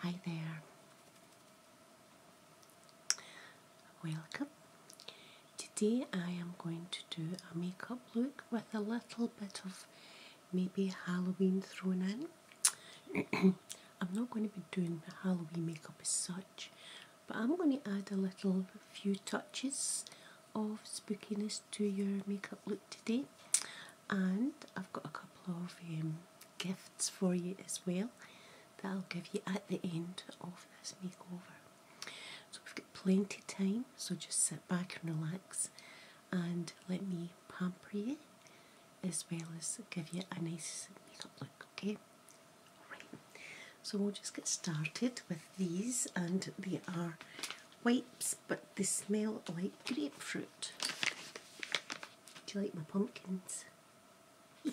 Hi there. Welcome. Today I am going to do a makeup look with a little bit of maybe Halloween thrown in. I'm not going to be doing Halloween makeup as such, but I'm going to add a little few touches of spookiness to your makeup look today. And I've got a couple of um, gifts for you as well that I'll give you at the end of this makeover. So we've got plenty of time, so just sit back and relax and let me pamper you as well as give you a nice makeup look. Okay, right. So we'll just get started with these, and they are wipes, but they smell like grapefruit. Do you like my pumpkins?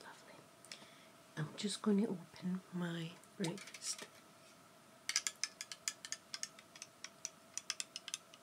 Lovely. I'm just going to open my wrist.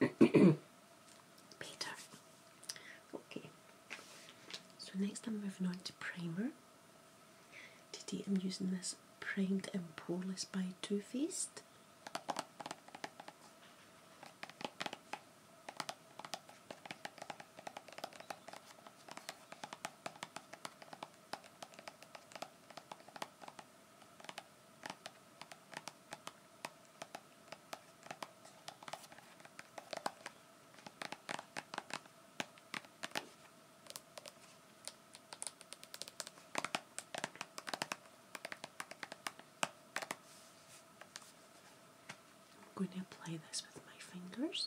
Better. Okay. So next I'm moving on to primer. Today I'm using this Primed and Poreless by Too Faced. I'm going to apply this with my fingers.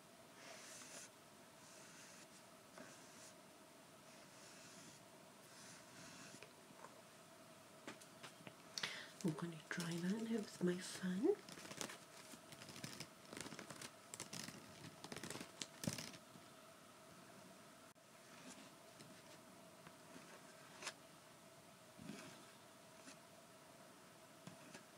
I'm going to try that with my fan.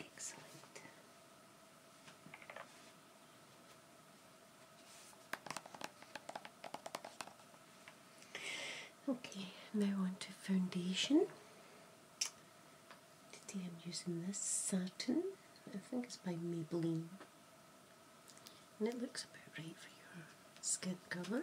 Excellent. Okay, now onto foundation. Today I'm using this satin, I think it's by Maybelline, and it looks about right for your skin colour.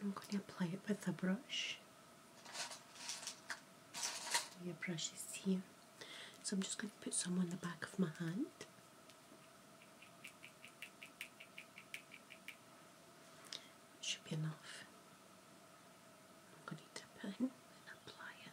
I'm going to apply it with a brush. Your brush is here. So I'm just going to put some on the back of my hand. should be enough. I'm going to dip in and apply it.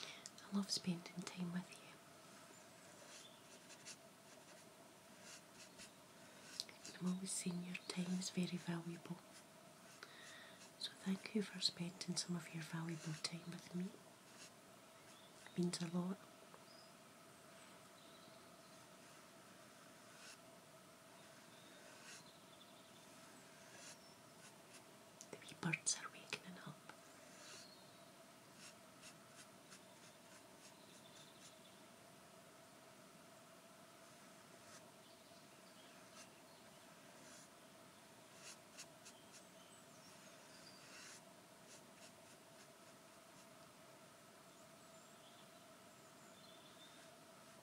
I love spending time with you. I'm always saying your time is very valuable. So thank you for spending some of your valuable time with me. It means a lot. The wee birds are waking up.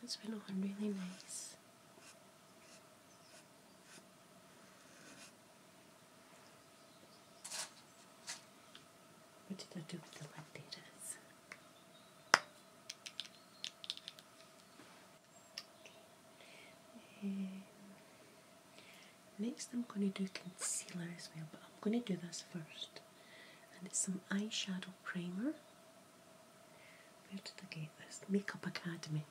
That's been on really nice. What did I do with the lactators? Okay. next, I'm going to do concealer as well, but I'm going to do this first and it's some eyeshadow primer. Where did I get this? Makeup Academy.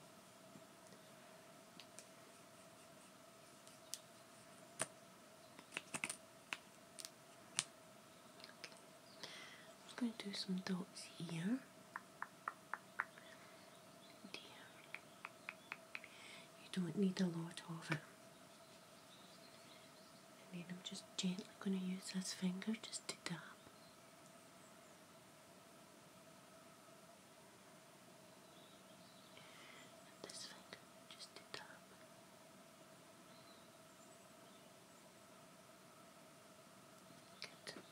I'm going to do some dots here. Dear. You don't need a lot of it. And then I'm just gently going to use this finger just to dab. this finger just to dab. Good.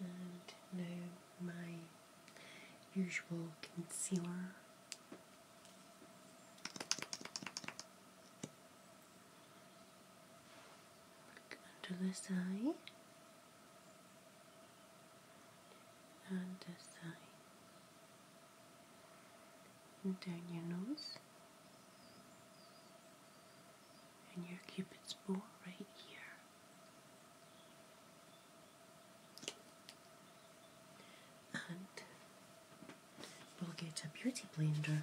And now my usual concealer under this eye and this and down your nose and your cupid's bow right here and we'll get a beauty blender.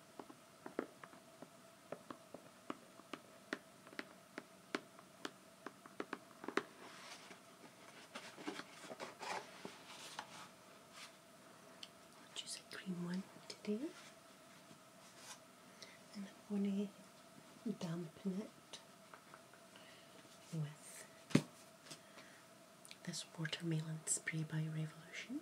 I'll choose a green one today and I'm going to dampen it with this watermelon spray by Revolution.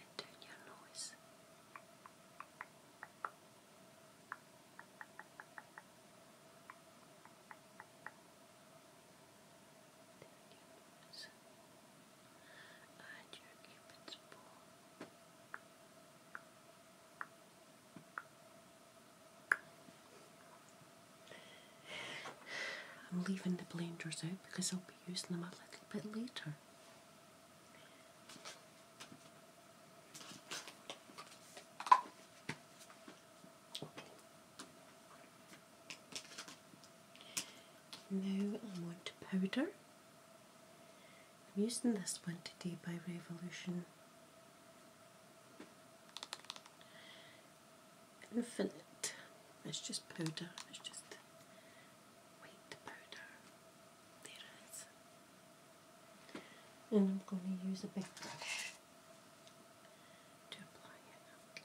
and turn your noise turn your noise and your cupid's I'm leaving the blenders out because I'll be using them a little bit later. Now I'm powder. I'm using this one today by Revolution. Infinite. It's just powder. It's just white powder. And I'm going to use a big brush to apply it.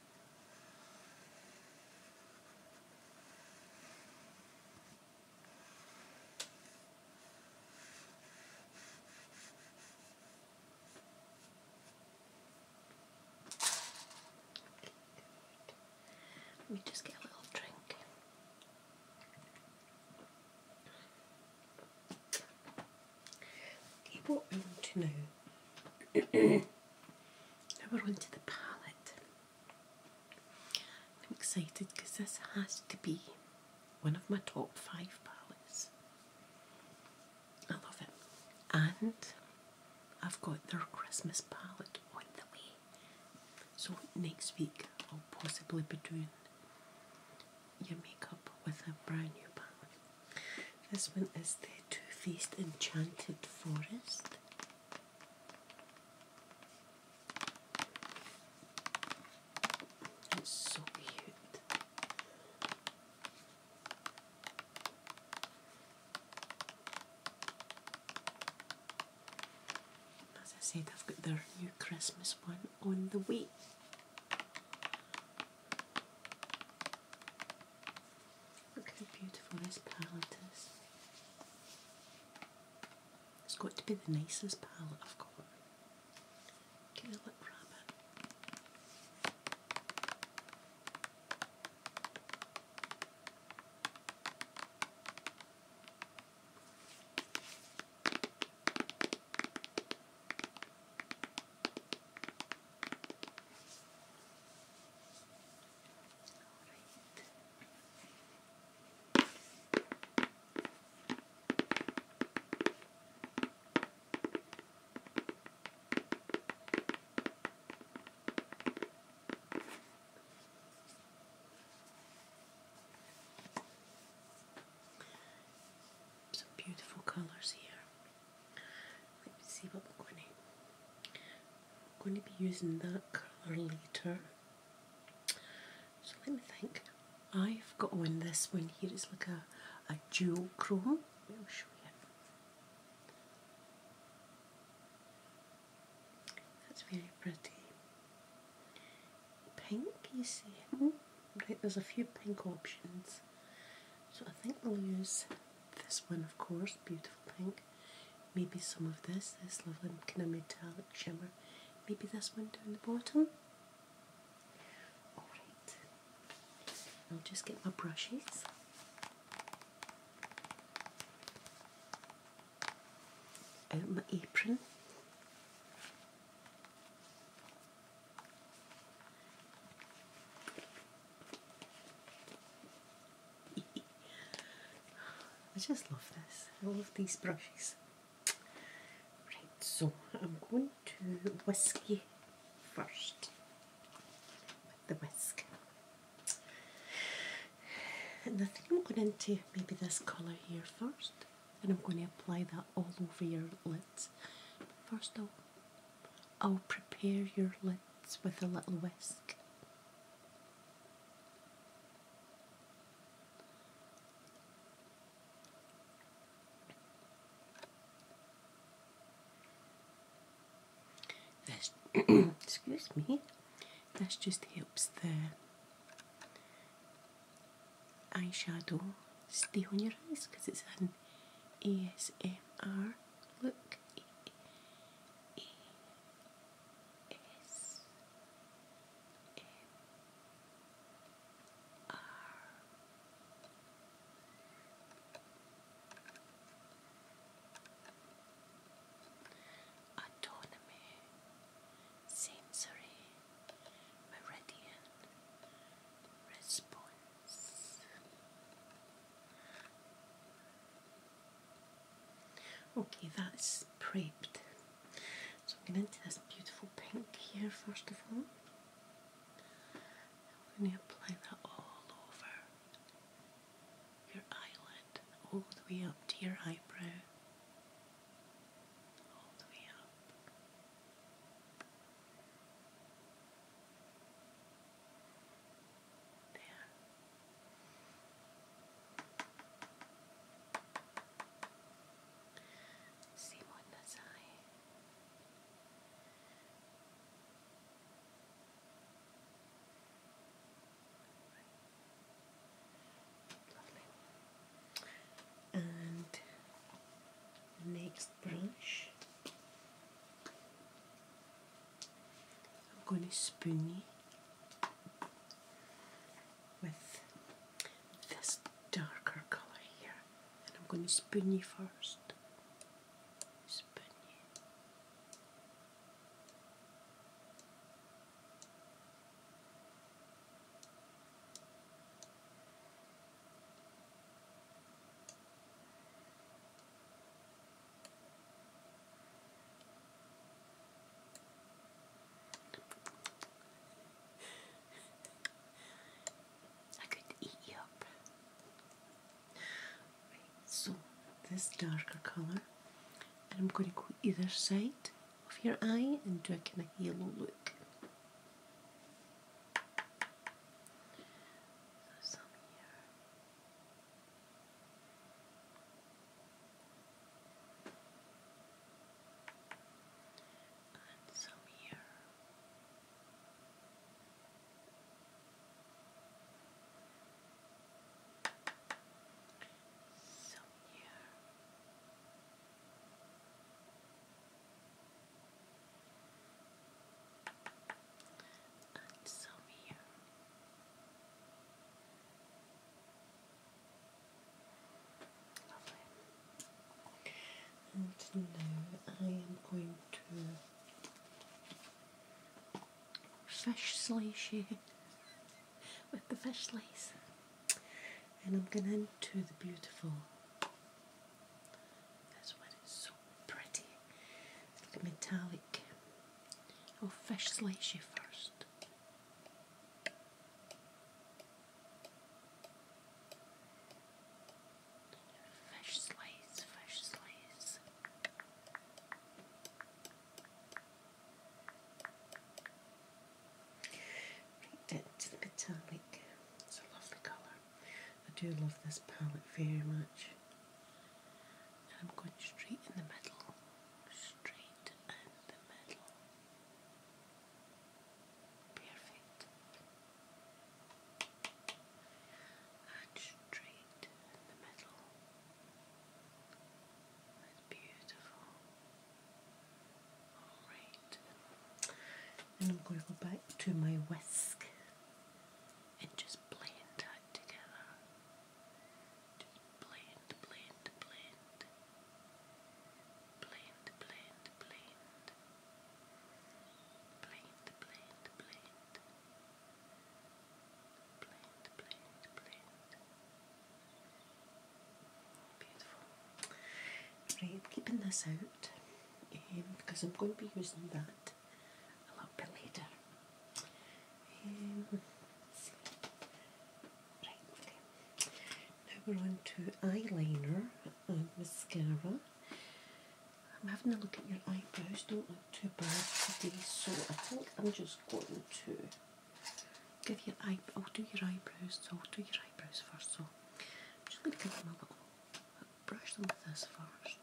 Let me just get a little drink. Okay, want to know Now we're on the palette. I'm excited because this has to be one of my top five palettes. I love it. And I've got their Christmas palette on the way. So next week I'll possibly be doing your makeup with a brand new palette. This one is the Too Faced Enchanted Forest. As I said, I've got their new Christmas one on the way. Look how beautiful this palette is. It's got to be the nicest palette I've got. Some beautiful colors here let me see what we're going to I'm going to be using that colour later so let me think I've got on this one here it's like a, a dual chrome I'll show you that's very pretty pink you see hmm? right there's a few pink options so I think we'll use this one, of course, beautiful pink. Maybe some of this, this lovely kind of metallic shimmer. Maybe this one down the bottom. Alright, I'll just get my brushes. Out my apron. I just love this. I love these brushes. Right, so I'm going to whisk you first with the whisk. And I think I'm going to maybe this colour here first, and I'm going to apply that all over your lids. First, I'll, I'll prepare your lids with a little whisk. excuse me. This just helps the eyeshadow stay on your eyes because it's an ASMR look. S M R Autonomy, Sensory, Meridian, Response. Okay, that's prepped. So I'm going into this beautiful pink here first of all. I'm going to apply that all over your eyelid, all the way up to your eyebrow. All the way up there. Simo Nazai. Lovely. And next brush. I'm going to spoon you with this darker colour here, and I'm going to spoon you first. Spoon you. I could eat you up. so this darker colour, and I'm going to go either side of your eye and do a kind of halo look and some here. So here. And some here. And now I am going to fish slice you with the fish slice. And I'm going into the beautiful. That's why it's so pretty. It's like a metallic Oh, I'll fish slice you first. Fish slice, fish slice. Right metallic. It's a lovely colour. I do love this palette very much and I'm going straight in the middle, straight in the middle. Perfect. And straight in the middle. That's beautiful. Alright. And I'm going to go back to my whisk and just blend that together. I'm keeping this out because um, I'm going to be using that a little bit later. Now we're on to eyeliner and mascara. I'm having a look at your eyebrows, don't look too bad today, so I think I'm just going to give your eye I'll do your eyebrows, so I'll do your eyebrows first, so just going to give them a little, brush them with this first.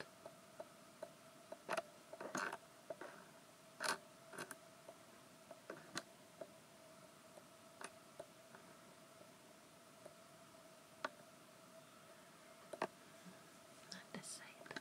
Not this side. Dude.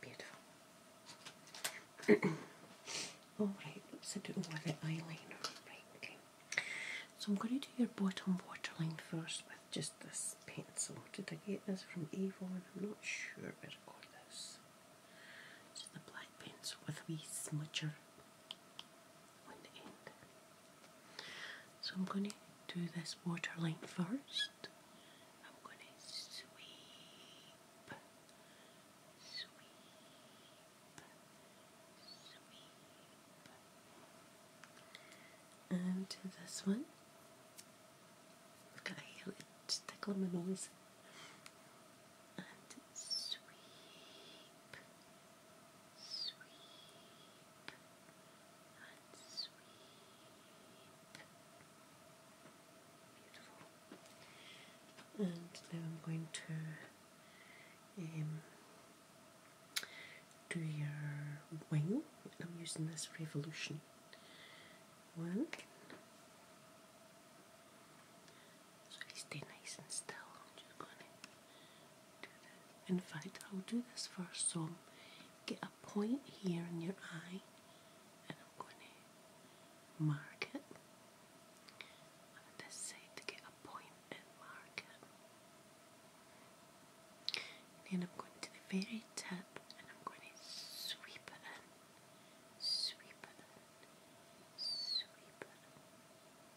Beautiful. Alright, let's do with the eyeliner. So I'm going to do your bottom waterline first with just this pencil. Did I get this from Avon? I'm not sure where I got this. just a black pencil with a wee smudger so I'm going to do this waterline first. I'm going to sweep, sweep, sweep. And to this one. I've got a heel stick on my nose. And sweep, and now I'm going to um, do your wing. I'm using this Revolution one. So stay nice and still. In fact, I'll do this first. So get a point here in your eye, and I'm going to mark it. And this side to get a point and mark it. And then I'm going to the very tip, and I'm going to sweep it in, sweep it in, sweep it in,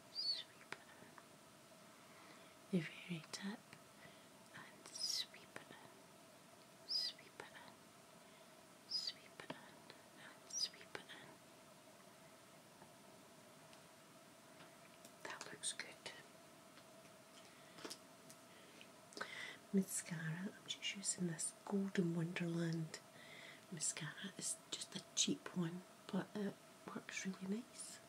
sweep it in the very tip and sweep it sweep it sweep it and sweep it That looks good. Mascara, I'm just using this Golden Wonderland mascara. It's just a cheap one, but it works really nice.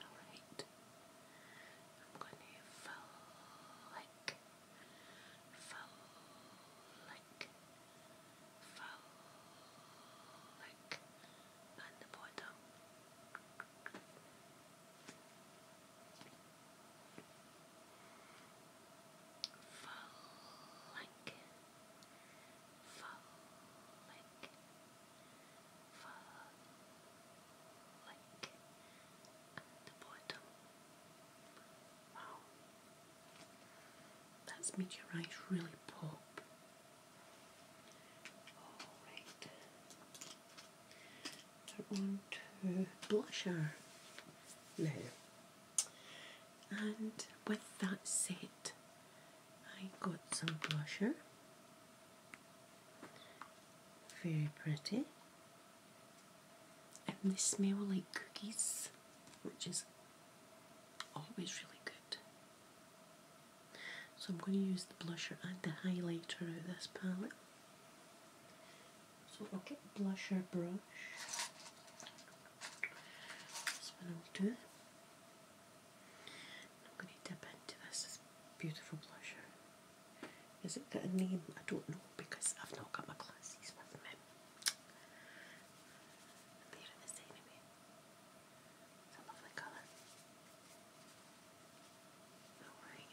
Alright. I'm gonna flick, flick, flick on the bottom. Folic, folic, folic the bottom. Wow, that's made your eyes really pop. Alright, turn on to blusher now. And with that said, I got some blusher. Very pretty. And this smell like cookies, which is always really good. So I'm going to use the blusher and the highlighter out of this palette so okay, blusher brush. That's what I'll do. I'm going to dip into this, beautiful blusher. Is it a name? I don't know because I've not got my glasses with me. And there it is It's a lovely colour. Alright.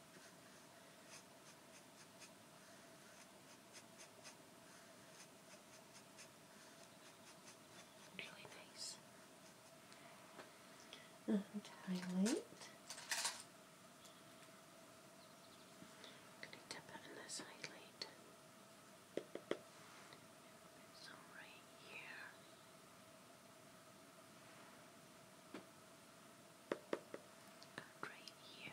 Really nice. And highlight. Could dip it in this highlight? Some right here. Good right here. Good.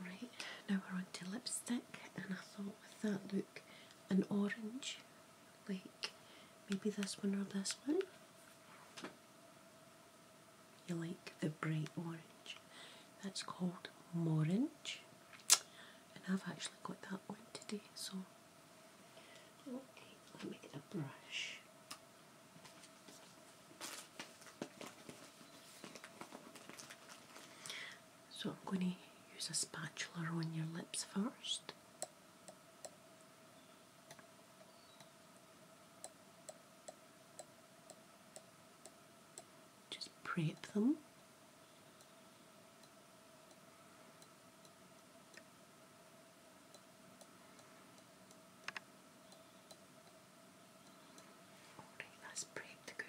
Alright, now we're on to lipstick, and I thought with that look, an orange, like maybe this one or this one. You like the bright orange. That's called Morin. And I've actually got that one today, so okay, let me get a brush. So I'm going to use a spatula on your lips first. Just prep them. Alright, that's pretty good.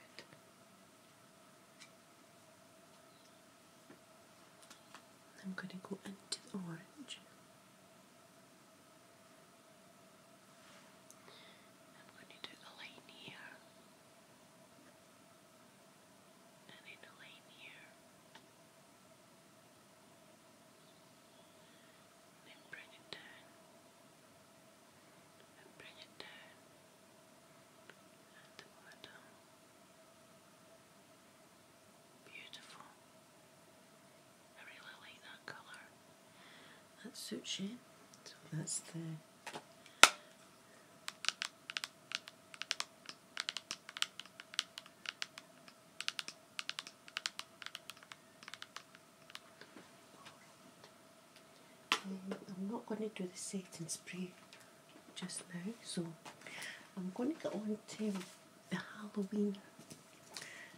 I'm going to go into the orange. I'm going to do the line here and in the lane here. Then bring it down and bring it down at the bottom. Beautiful. I really like that colour. That suits you. So that's the um, I'm not going to do the setting spray just now, so I'm going to get on to the Halloween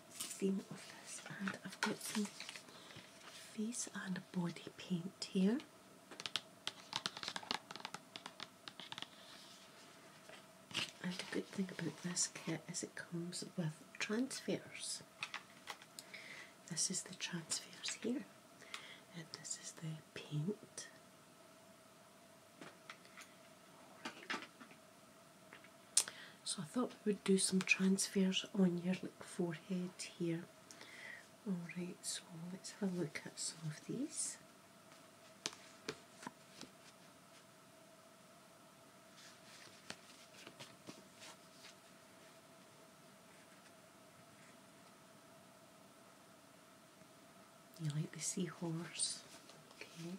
theme of this, and I've got some face and body paint here. And the good thing about this kit is it comes with transfers. This is the transfers here, and this is the paint. So I thought we would do some transfers on your forehead here Alright, so let's have a look at some of these. You like the seahorse? Okay.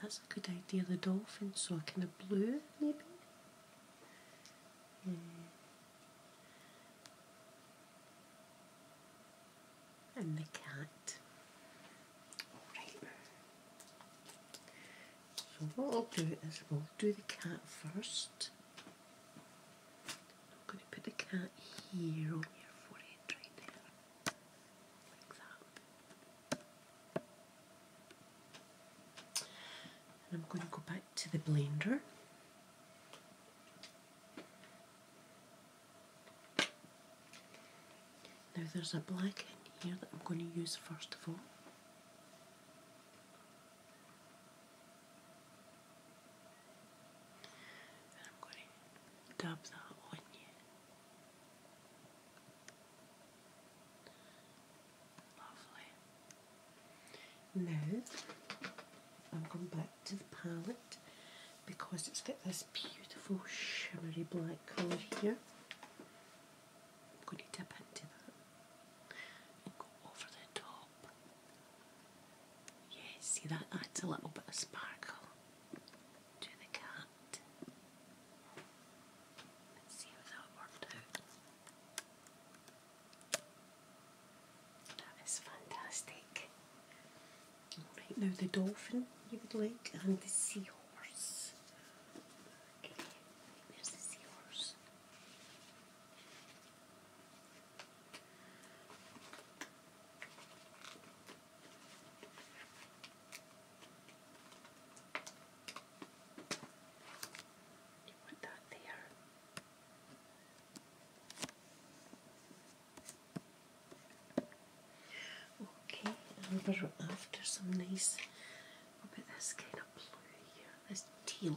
That's a good idea. The dolphin, so a kind of blue, maybe. And the cat. Alright. So, what I'll do is we'll do the cat first. I'm going to put the cat here on your forehead right there. And I'm going to go back to the blender. Now there's a black in here that I'm going to use first of all. I'm going to dab that on you. Lovely. Now I'm going back to the palette because it's got this beautiful shimmery black colour here. I'm going to dip into that and go over the top. Yes, see that adds a little bit of sparkle to the cat. That is fantastic. Right now, the dolphin you would like and the seahorse. Okay, there's the seahorse. Okay, and we after some nice, what about this kind of blue here, this teal.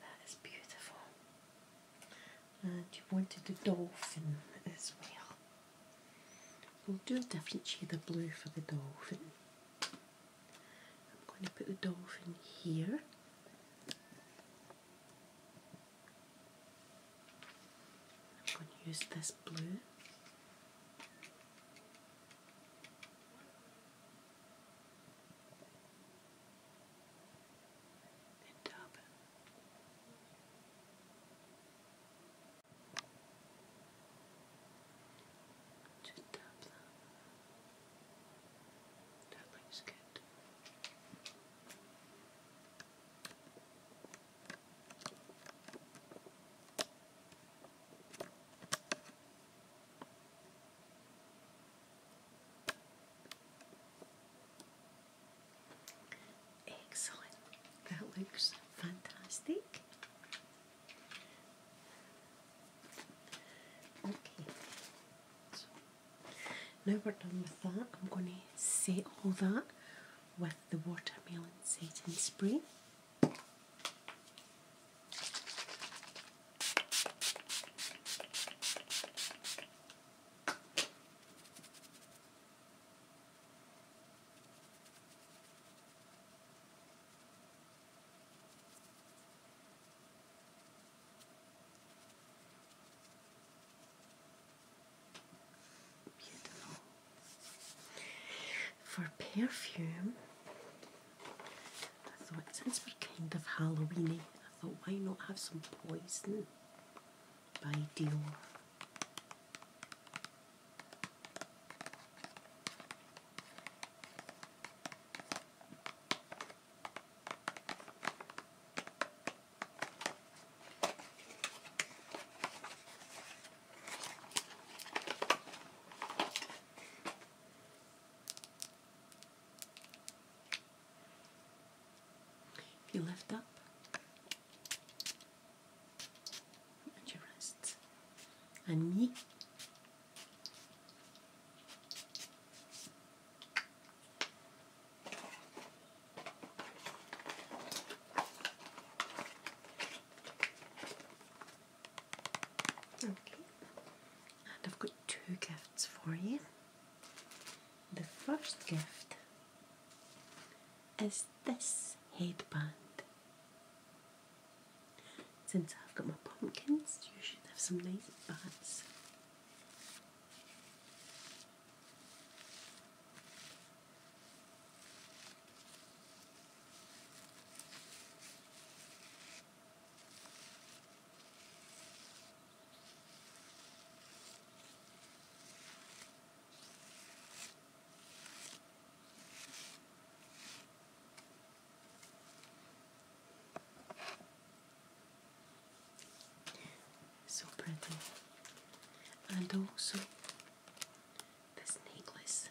That is beautiful. And you wanted a dolphin as well. We'll do a different shade of blue for the dolphin. I'm going to put the dolphin here. I'm going to use this blue in Durban. Just tap that. That looks good. Right. Excellent. That looks fantastic. Okay. now we're done with that. I'm going to set all that with the watermelon satin spray. Beautiful. For perfume, I thought, since we're kind of Halloweeny, I thought, why not have some poison by Dior? If you lift up and your wrists and knee. Okay, and I've got two gifts for you. The first gift is this headband. Since I've got my pumpkins, you should have some nice hats. So pretty, and also this necklace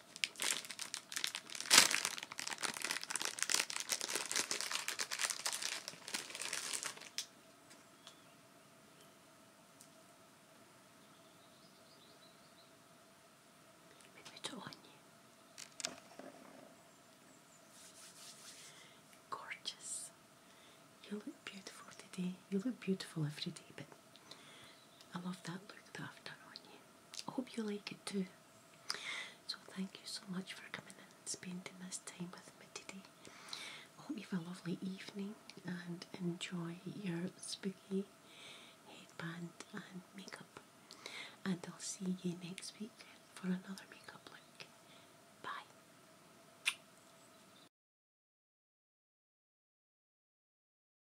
Mehmet Gorgeous. You look beautiful today. You look beautiful every day, but I love that look that I've done on you. I hope you like it too. So thank you so much for coming in and spending this time with me today. hope you have a lovely evening and enjoy your spooky headband and makeup. And I'll see you next week for another makeup look. Bye.